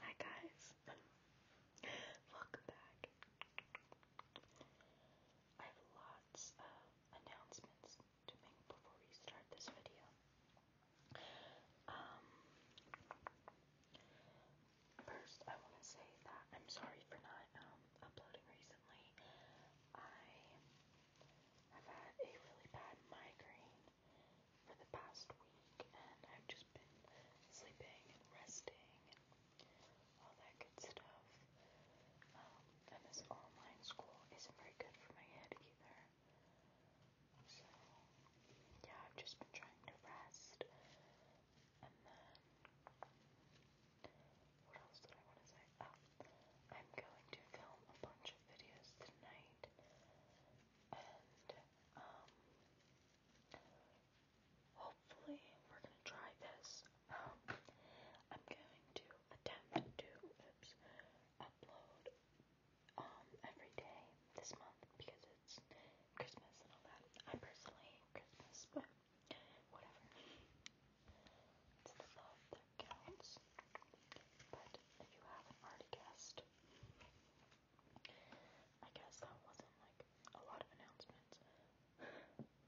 Hi guys, welcome back. I have lots of announcements to before we start this video. Um, first, I want to say that I'm sorry for not um, uploading recently. I I've had a really bad migraine for the past week, and I've just been sleeping and resting and all that good stuff. Um, and this online school isn't very good for my head either. So, yeah, I've just been trying to rest. And then, what else did I want to say? Oh, I'm going to film a bunch of videos tonight, and um, hopefully we're gonna try this. Um, I'm going to attempt to upload um every day this month because it's Christmas and all that. I personally hate Christmas, but whatever. It's the love counts. But if you haven't already guessed, I guess that wasn't like a lot of announcements.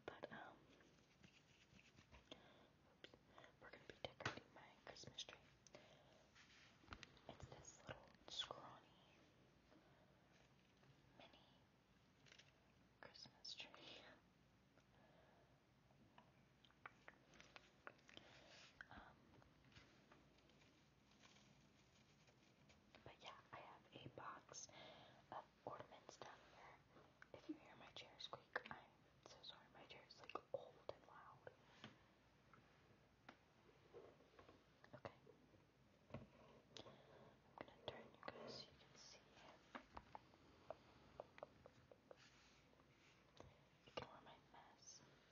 But um we're gonna be decorating my Christmas tree. It's this little scrawny mini Christmas tree. Um, but yeah, I have a box of ornaments down here. If you hear my chair squeak, I'm so sorry. My chair is like old and loud. Okay. I'm gonna turn you guys so you can see ignore my mess.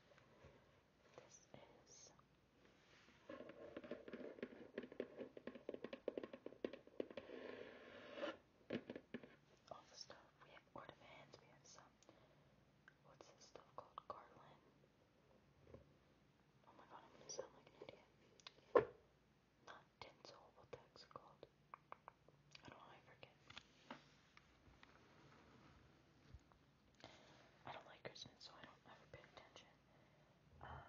This is all the stuff. We have ornaments, we have some what's this stuff called? Garland. Oh my god, I'm gonna sound like an idiot tinsel, what that's called. I don't know, I forget. I don't like Christmas, so I don't ever pay attention. Um,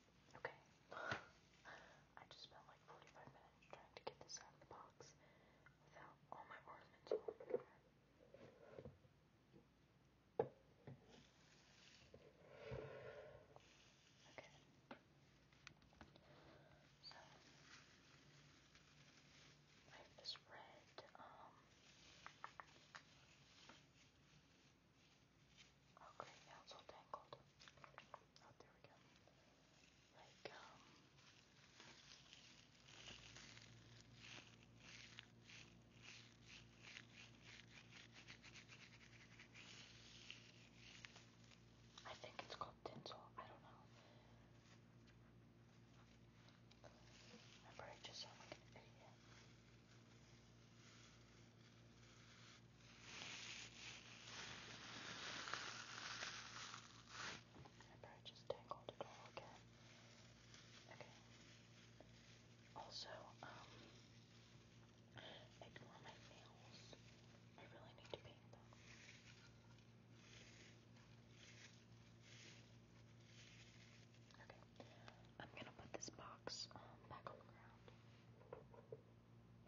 Okay. I just spent like 45 minutes trying to get this out of the box without all my ornaments Okay. So I have this red, um, Okay, now all tangled. Oh, there we go. Like, um... I think it's called tinsel. I don't know. Remember, I just sound like I probably just tangled it all again. Okay. Also, um, ignore my nails. I really need to paint them. Okay. I'm gonna put this box um, back on the ground. I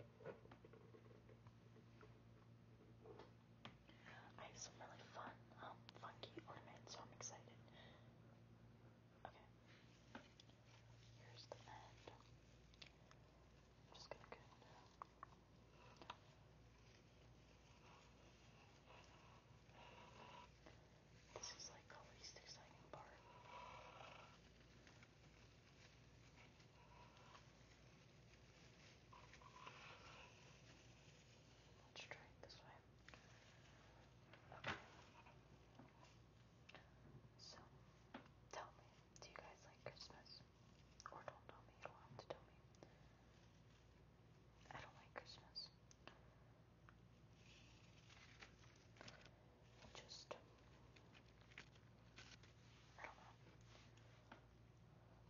have some really fun, um, funky ornaments, so I'm excited. Okay. Here's the end. I'm just gonna go this is like the least exciting part. Let's try it this way. Okay. So, tell me, do you guys like Christmas? Or don't tell me, you don't have to tell me. I don't like Christmas just I don't know.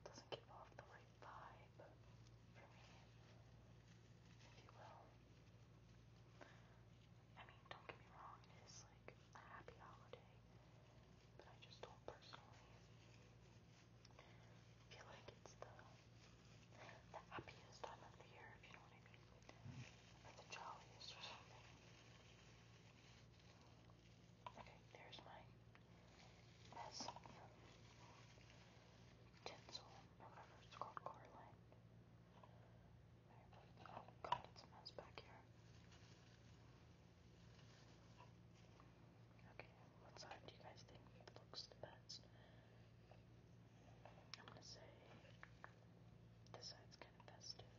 Doesn't give off the right vibe for me, if you will. I mean, don't get me wrong, it is like a happy holiday, but I just don't personally feel like it's the the happiest time of the year, if you know what I mean. Like the jolliest or something. Okay, there's my mess from tinsel or whatever it's called, Coraline. Oh god, it's a mess back here. Okay, what side do you guys think looks the best? I'm gonna say the side's kind of festive.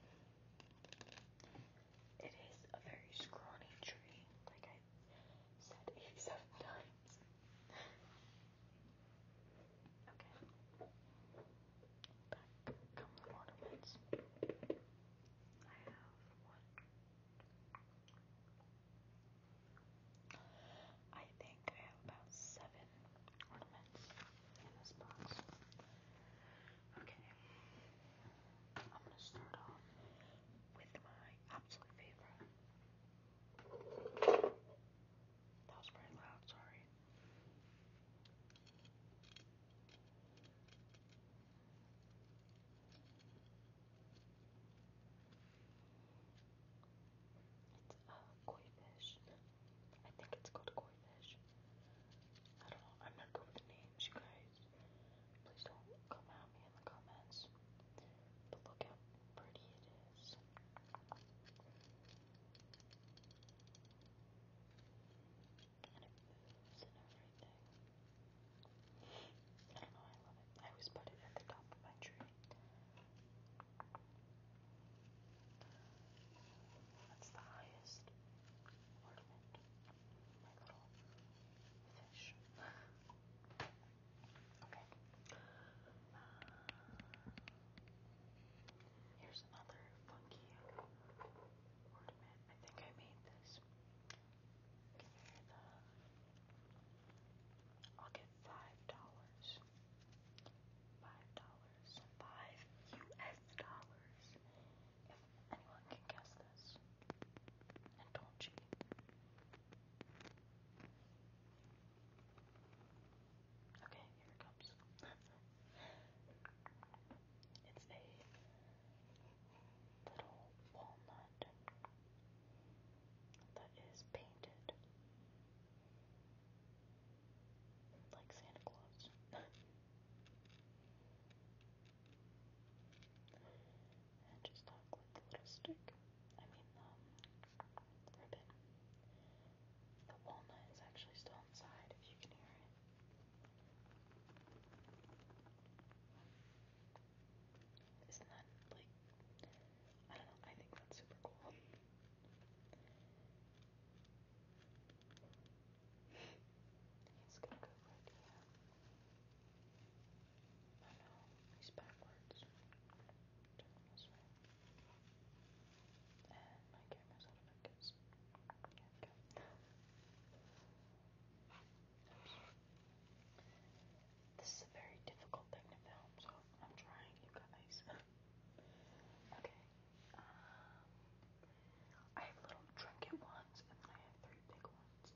It is a very scrawny tree, like I said 87 times. okay. Back come the ornaments. I have one. I think I have about seven ornament, ornaments Okay, I'm gonna start off with my absolute favorite. That was pretty loud, sorry. It's a koi fish. I think it's called koi I don't know. I'm not good with names, guys. Please don't come at me in the comments. But look how pretty it is. And it moves and everything. I don't know, I love it. I always put it at the top of my tree. That's the highest ornament, my little fish. okay. Uh, here's another funky ornament. I think I made this. Give me the. I'll get five dollars. Five dollars. Five US dollars. If anyone can guess this. And don't cheat. Okay, here it comes. it's a little walnut that is painted. Like Santa Claus. and just talk with the little stick. I mean, um, ribbon. The walnut is actually still inside, if you can hear it. Isn't that like I don't know, I think that's super cool. He's gonna go right here. I know, he's backwards. Turn him this way. And my camera's out of focus. Here we go. Oops. This is a very difficult thing to film, so I'm trying, you guys. okay, I have little trinket ones and then I have three big ones.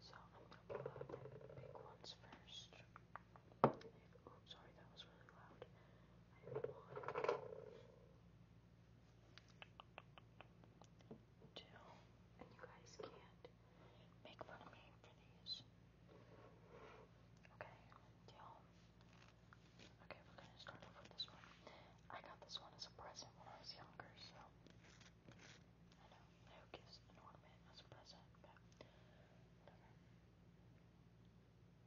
So I'm gonna pull out the big ones first. I sorry, that was really loud. one, two, and you guys can't make fun of me for these. Okay, deal. Okay, we're gonna start off with this one. I got this one as a present when I was younger, so I know who gives an ornament as a present,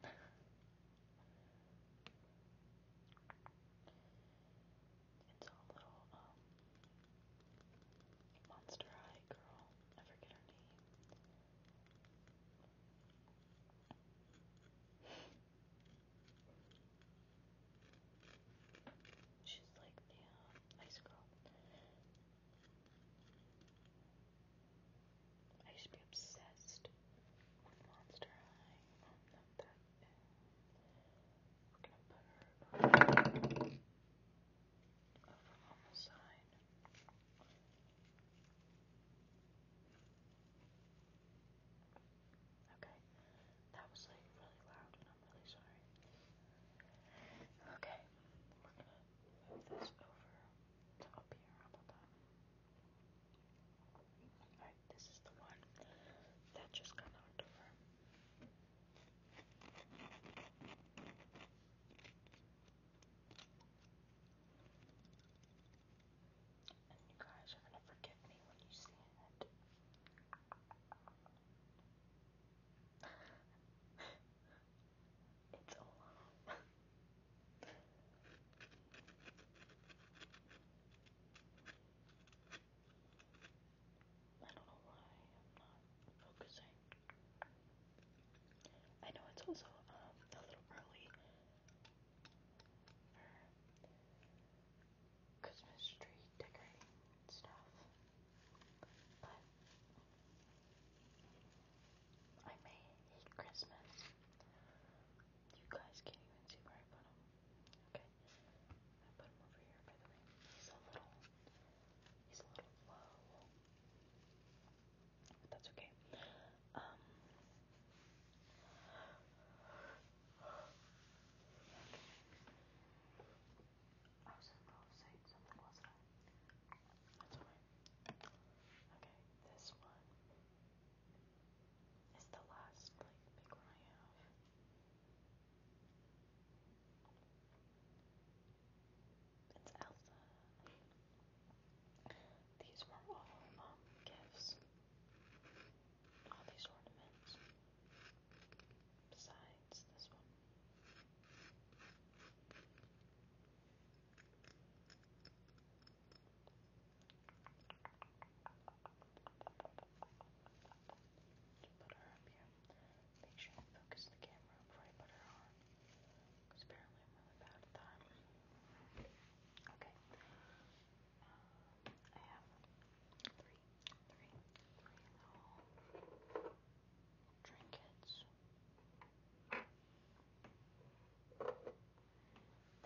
it's a little um monster high girl. I forget her name. She's like the ice girl. I used to be obsessed with Monster High. not that. over on the side. Okay, that was like really loud and I'm really sorry. Okay, we're gonna move this over up here. How about that? Alright, this is the one that just got knocked over. And you guys are going to forgive me when you see it. it's a lot. I don't know why I'm not focusing. I know it's also um, a little early for Christmas tree decorating stuff, but I may hate Christmas. You guys can't even see where I put them. Okay, I put them over here by the way. He's a little, he's a little low that's okay. Um, I was in the middle something, wasn't That's alright. Okay, this one is the last like big one I have. It's Elsa. These were all gifts. All these ornaments. Besides this one. Put her up here. Make sure you focus the camera before I put her on. Because apparently I'm really bad at that. Okay. Um, I have three, three, three little trinkets that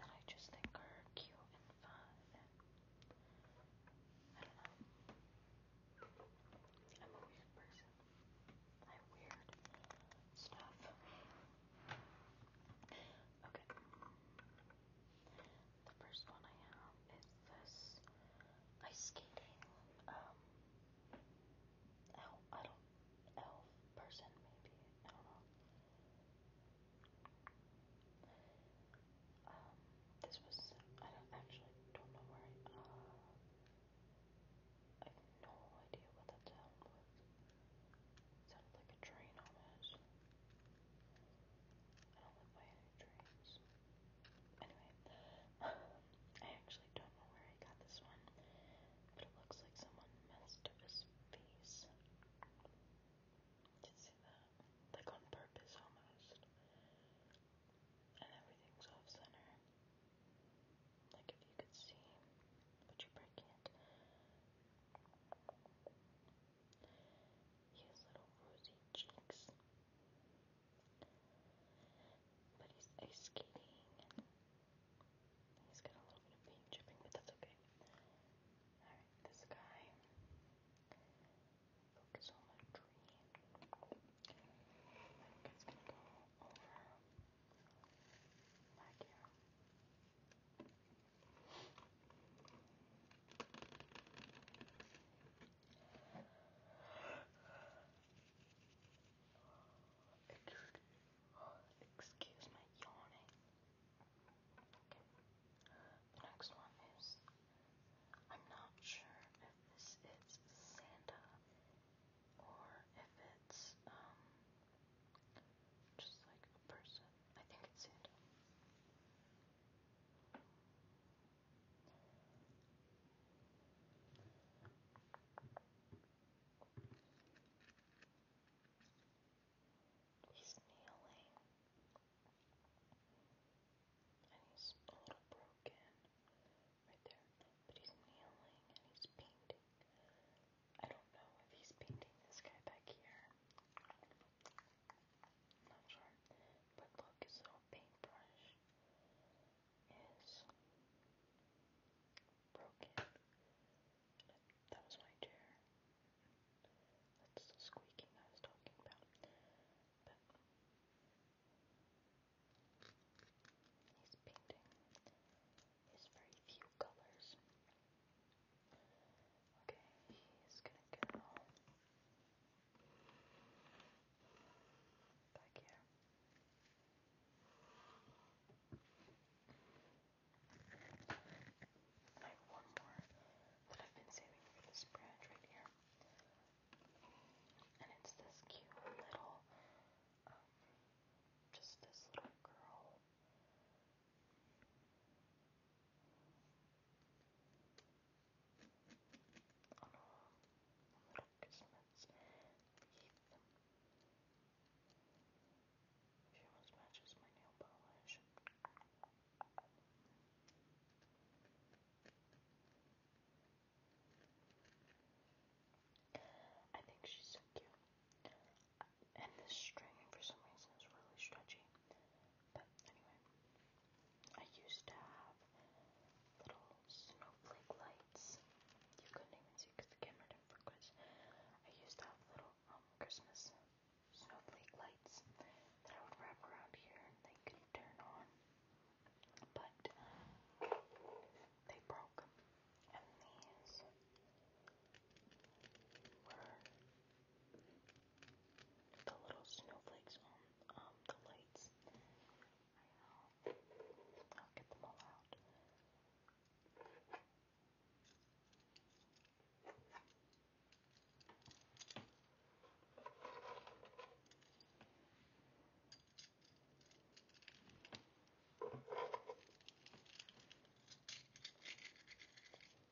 I just think are cute and fun. And I don't know. I'm a weird person. I weird stuff. Okay. The first one I have is this ice skating um elf I don't elf person maybe. I don't know. Um this was I don't actually don't know where I uh I have no idea what that sound was. sounded like a train almost. I don't live by trains. Anyway, I actually don't know where I got this one, but it looks like someone messed up his face. Did you see that? Like on purpose almost. And everything's off center. Like if you could see, but you probably can't. He has little rosy cheeks. But he's ice skating and he's got a little bit of paint chipping, but that's okay. Alright, this guy. Focus on the tree. I think it's gonna go over back here. Excuse my yawning. Okay. The next one is I'm not sure if this is Santa or if it's um, just like a person. I think it's it. He's kneeling and he's a little broken right there. But he's kneeling and he's painting. I don't know if he's painting this guy back here. not sure. But look, his little paintbrush is broken. That was my chair. That's the squeaking I was talking about. But his painting is very few colors. Okay, he's gonna go back here. I have one more that I've been saving for this branch right here. And it's this cute little um, just this little girl. On a, a little Christmas Eve. She almost matches my nail polish. I think she's so cute. And this string, for some reason, is really stretchy. But anyway, I used to have little snowflake lights. You couldn't even see the camera didn't focus. I used to have little um, Christmas snowflake lights that I would wrap around here and they could turn on. But they broke. And these were the little snowflakes on um, the lights. I know. I'll get them all out.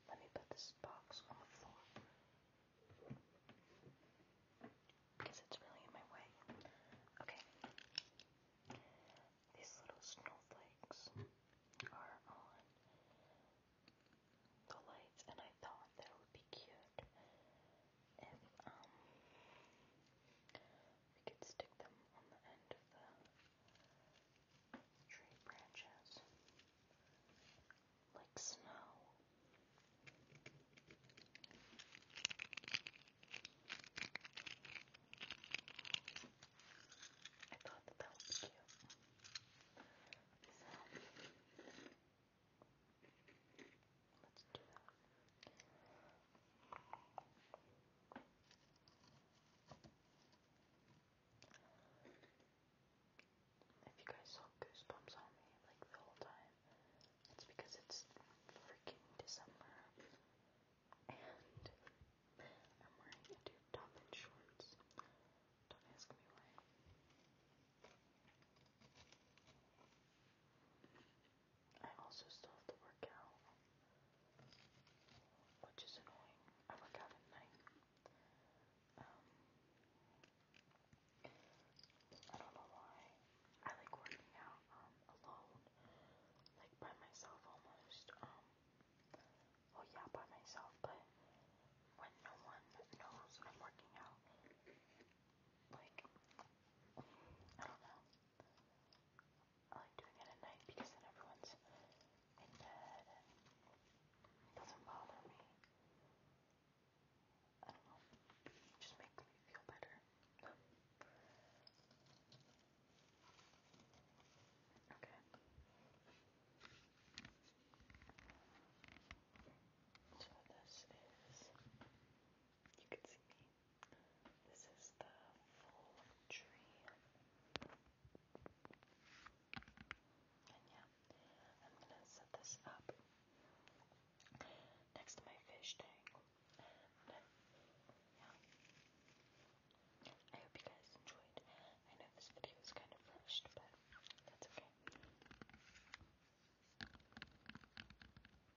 Let me put this box on the floor because it's really in my way. Okay. These little snowflakes are on the lights, and I thought that it would be cute if, um, we could stick them on the end of the tree branches like snow. I thought that that would be cute. So, Let's do that. If you guys saw goosebumps on me like the whole time, it's because it's freaking December and I'm wearing a dude top and shorts. Don't ask me why. I also still have to work out, which is annoying. I work out at night. Um, I don't know why. I like working out um, alone, like by myself almost. Um, well, yeah, by myself, but when no one knows I'm working out, like, I don't know. I like doing it at night because then everyone's in bed and it doesn't bother me. I don't know. It just makes me feel better. Okay. So this is you can see me this is the full tree. And yeah, I'm gonna set this up next to my fish tank. And yeah. I hope you guys enjoyed. I know this video is kind of rushed, but that's okay.